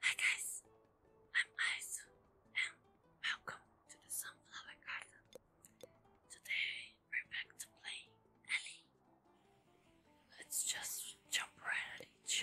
Hi guys, I'm Aizu and welcome to the Sunflower Garden. Today we're back to play Ellie. Let's just jump right at each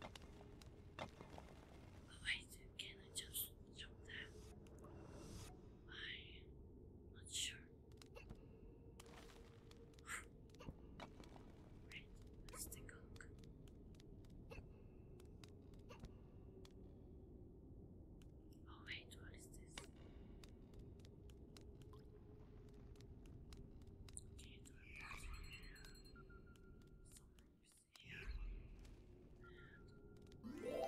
But wait, can I just jump there? I'm not sure. wait, let's Oh wait, what is this? Nice. Okay, let's do it again. Oh. Damn it.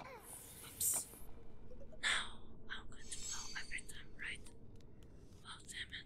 Okay. Oops. Now I'm going to blow every time, right? Oh, damn it.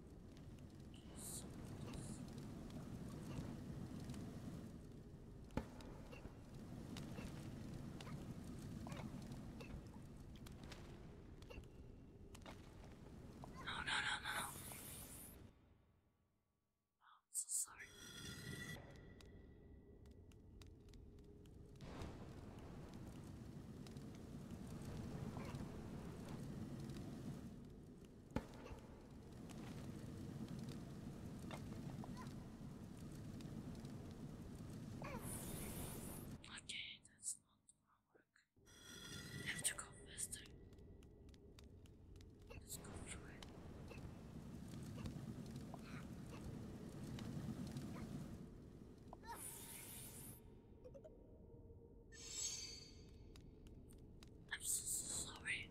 No, no, no, no. Oh, I'm so sorry. Okay, that's not gonna work. I have to go faster. Let's go through it. I'm so sorry.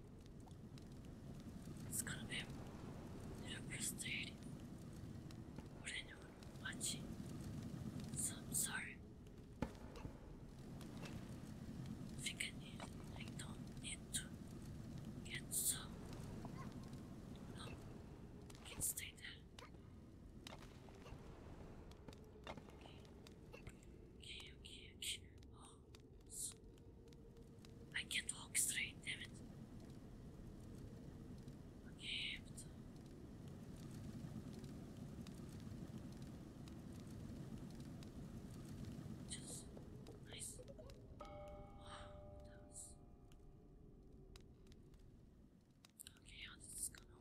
It's gonna be a little frustrating for anyone watching. So sorry. I don't need to get so no can stay there. I can't walk straight, damn it. Okay, Just nice. Wow, that was... Okay, how this is gonna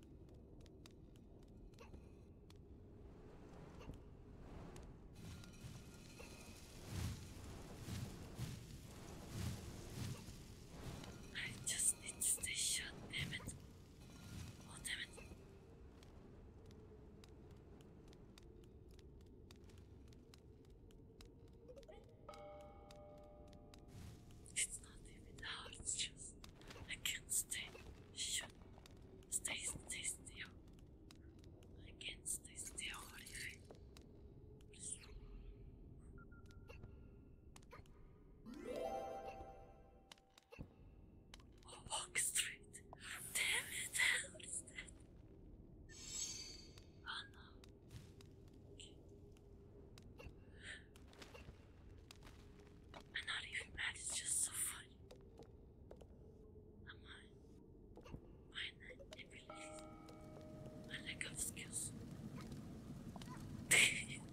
I just need to stay shut, damn it. Oh, damn it. It's not even hard, it's just. I can't stay. Shut. Stay, stay still. I can't stay still, Oliver. Please. Oh, Damn it, how is that? Oh no. I'm not even mad, it's just so funny. I'm on. Mine and release. I lack of skills.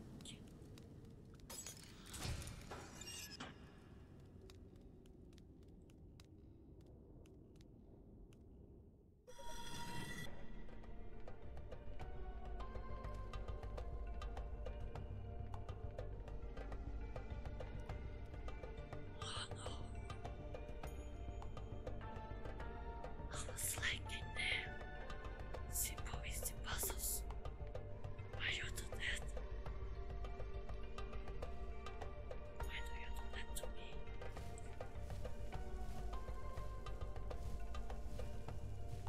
I like in the simple is the puzzles. Why you do that? Why do you do that to me?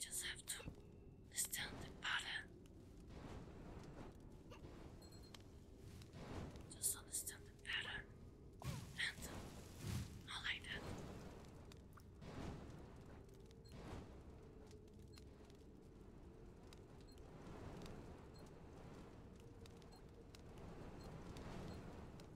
Just have to stand the pattern. Just understand the pattern. And not like that.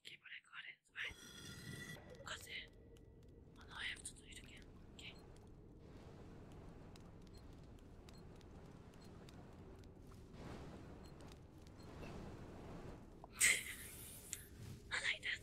Okay, but I got it. Right. Got it. Oh no, I have to do it again. Okay. I like that.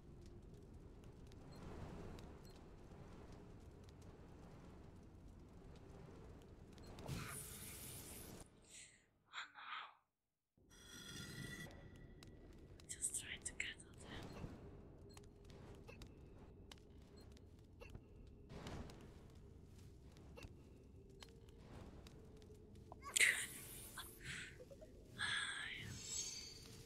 Oh no. Just trying to get at him. I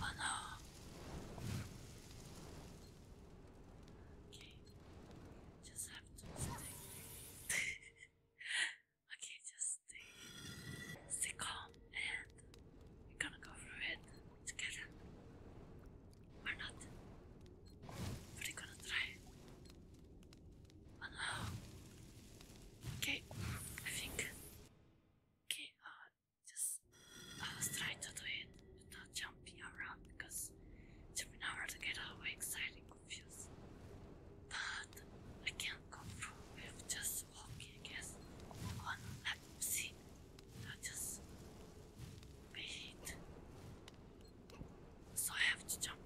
Oh no. Okay. Just have to stay. okay, just stay. Stay calm and we're gonna go through it together. Or not. But we're gonna try. Oh no. Okay, I think Okay, uh, just uh, try to do it without jumping around because jumping around to get away excited and confused. But I can't go through with just walking, I guess. On let me see. i just wait. So I have to jump.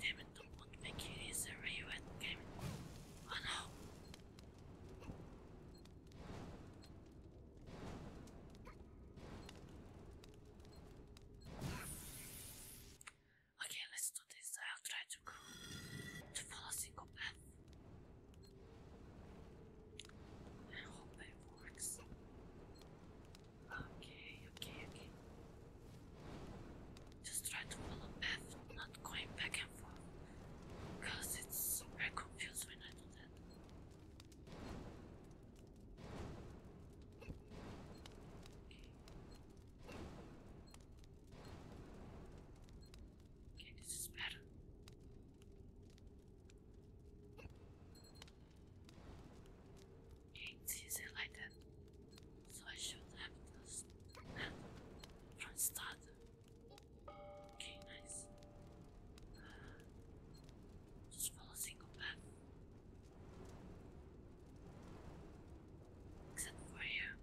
Damn it, don't look at the kitties, they're you at the game. Oh no! Okay, let's do this. I'll try to to follow single path. I hope it works. Okay, okay, okay. Just try to follow a path, not going back and forth, because it's very confused when I do that. Okay. this is better. Okay, it's like that so I should have those from start. Okay, nice. Uh, single path. Except for here.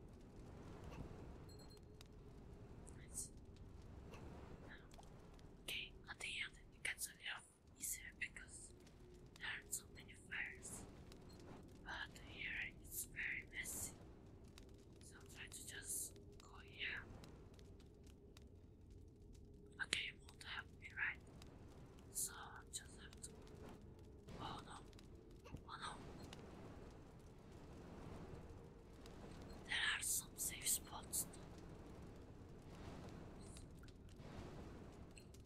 Okay, at the end it gets a little easier because there are so many first, but here it's very messy, so I'm just go here. Okay, you won't help me, right? So just have to. Oh no! Oh no! There are some safe spots.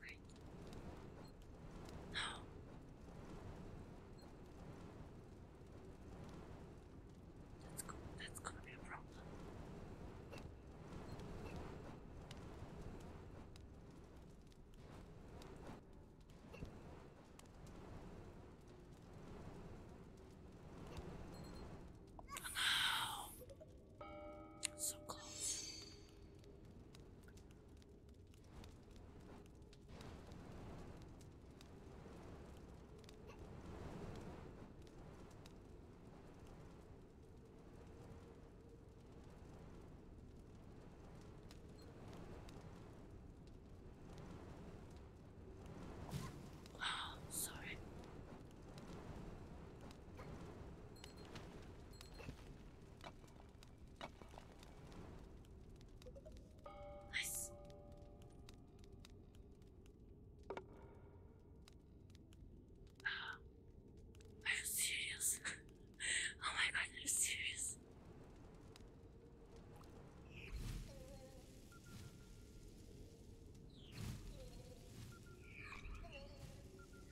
right? No. That's cool. That's gonna be a problem. Oh So close. Wow, sorry. Nice. Uh, are you serious? oh my god, are you serious?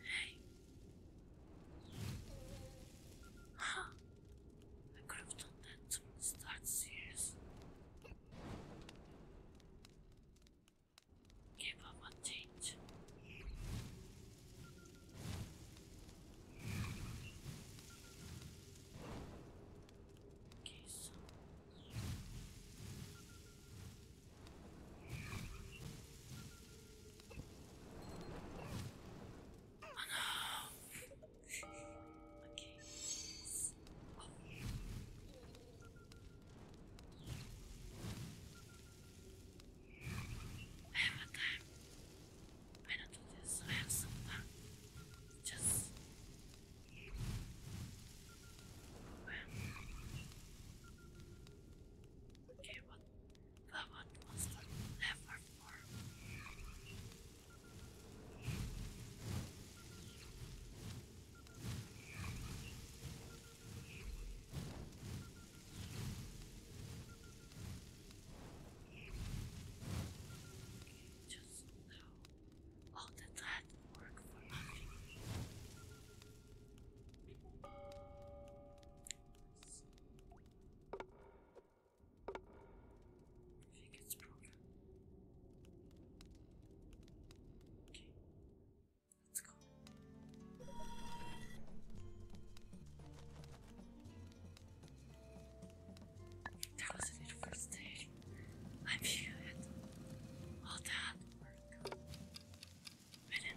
Hey. Huh. I could have done that from start, serious. Give up on change. Okay, Oh okay. time. I do this. I have some fun. Just. Okay, the one was the never form. Just know all the that work for nothing. I think it's broken. Okay, let's go. That was a beautiful stage. I'm here all that work. I did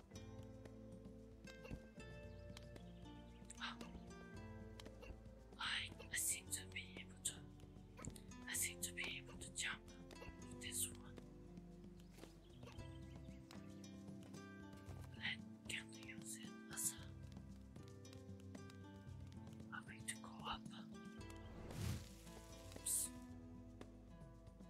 I seem to be able to. I seem to be able to jump with this one. Let can we use it as a, a way to go up?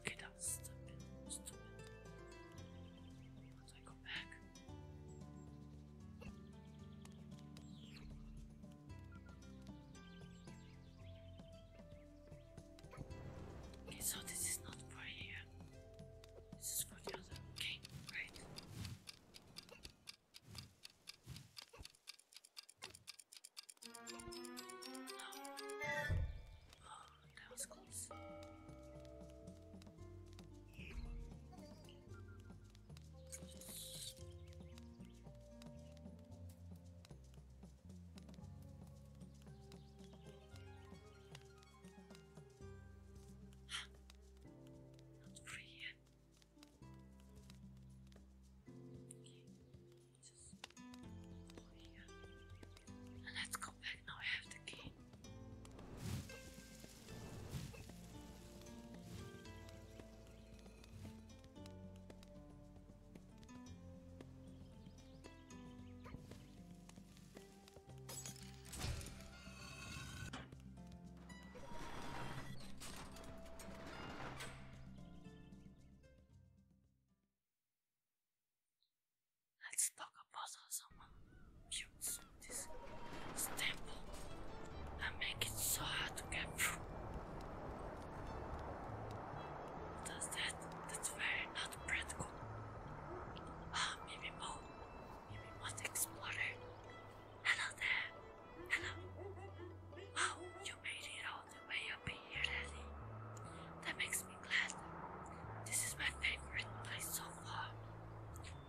Okay, that stupid, stupid. Once I go back. Okay, so this is not for here. This is for the other. Okay, right that was close. Not free yet. let's go go back now. I have the key. Let's talk about how someone builds this, this temple make it so hard to get through. Does that? That's very not practical. Ah, maybe more. Maybe more explorer. Hello there. Hello. Wow, you made it all the way up here, Ellie. That makes listening This is my favorite place so far.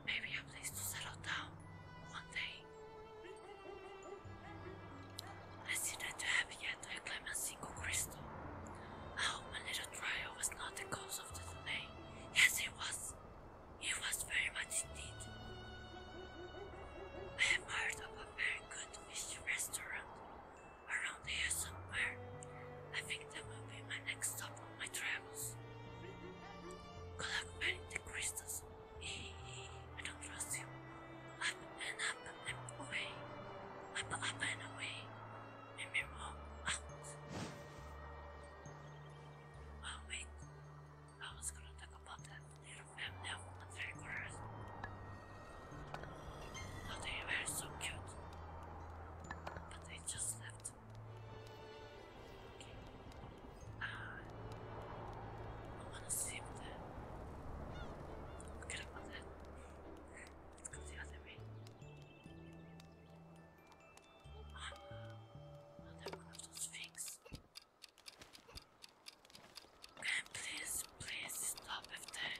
Maybe a place to settle down one day. I see that have yet to claim a single crystal. Oh, my little trial was not the cause of the delay. Yes, it was. It was very much indeed. I have heard of a very good fish restaurant around here somewhere. I think that will be my next stop on my travels. Good luck the crystals. I don't trust you. Up and up and away. Up, up and away. And we roll Oh wait, I was gonna talk about that little family of adventurers they were so cute. But they just left. Ah. I wanna see if the... I'm gonna put that. Let's another one of those things. Okay, please, please stop with that.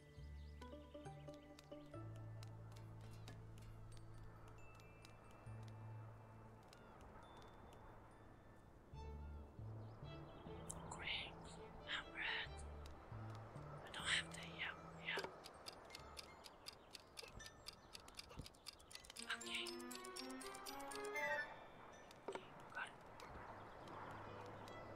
Great, I'm red. I don't have that yet. Yeah. Okay. Okay, got it.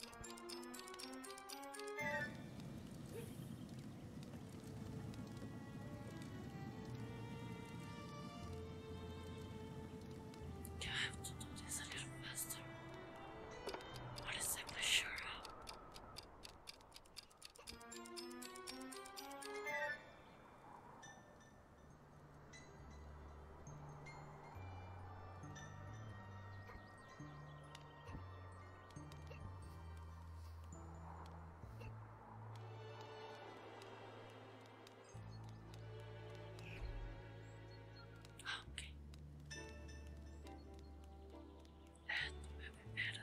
Do I have to do this a little faster? What is it for Okay. That will be better.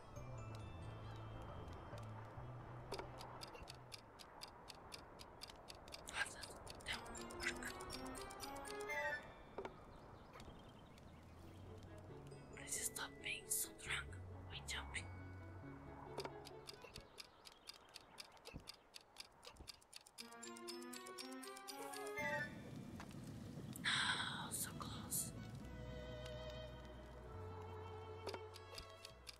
Stop being so drunk by jumping. Oh, so close.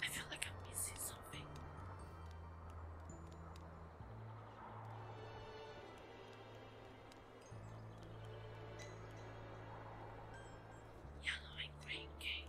I feel like I'm missing something. Yellow and green cake.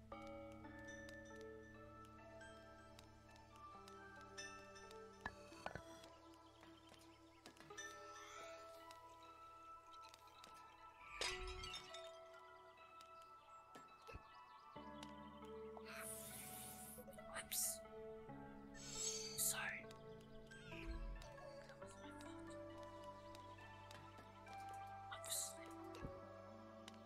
Whoops. Sorry. That was my fault. Obviously.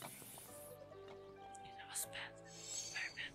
That was bad. Very bad.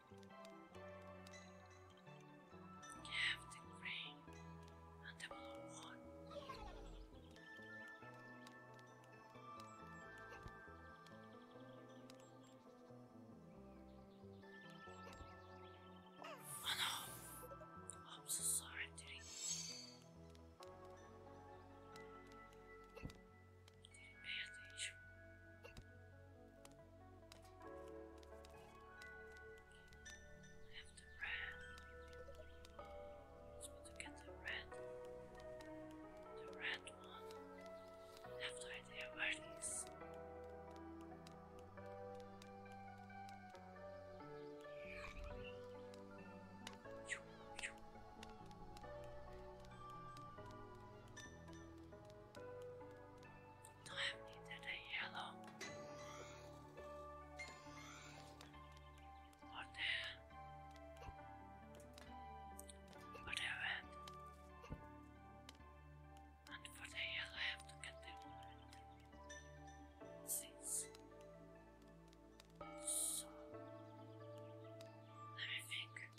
Have the gray and the blue one. Oh no! I'm so sorry, Terry advantage. Have the red. Supposed to get the red. The red one. I idea where it is. I needed a yellow. What the What a red. And for the yellow I have to get the one. Six. So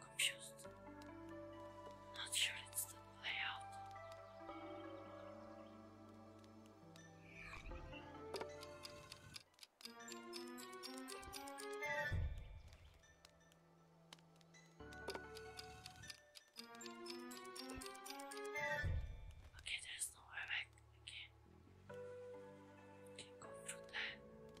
confused. Not sure it's the layout. Okay, there's no way back. Okay. Can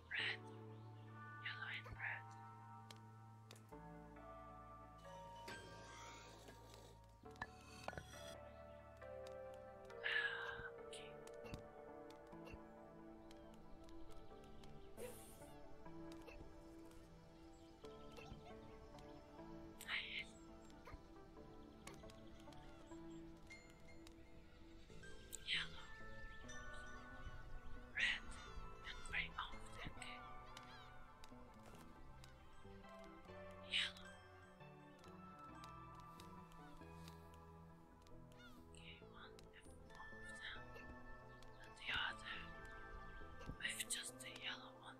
Bread. Yellow and bread. Ah, okay. Ah, yes yellow, red, and very often oh, yellow. Okay, one and four and the other with just the yellow one.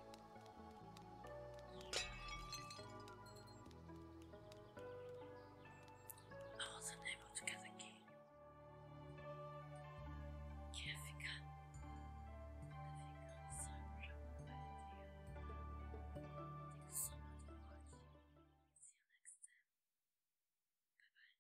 I wasn't able to get a key. Kefika. I think I'm sorry for my idea. Thanks so much for watching. See you next time. Bye bye.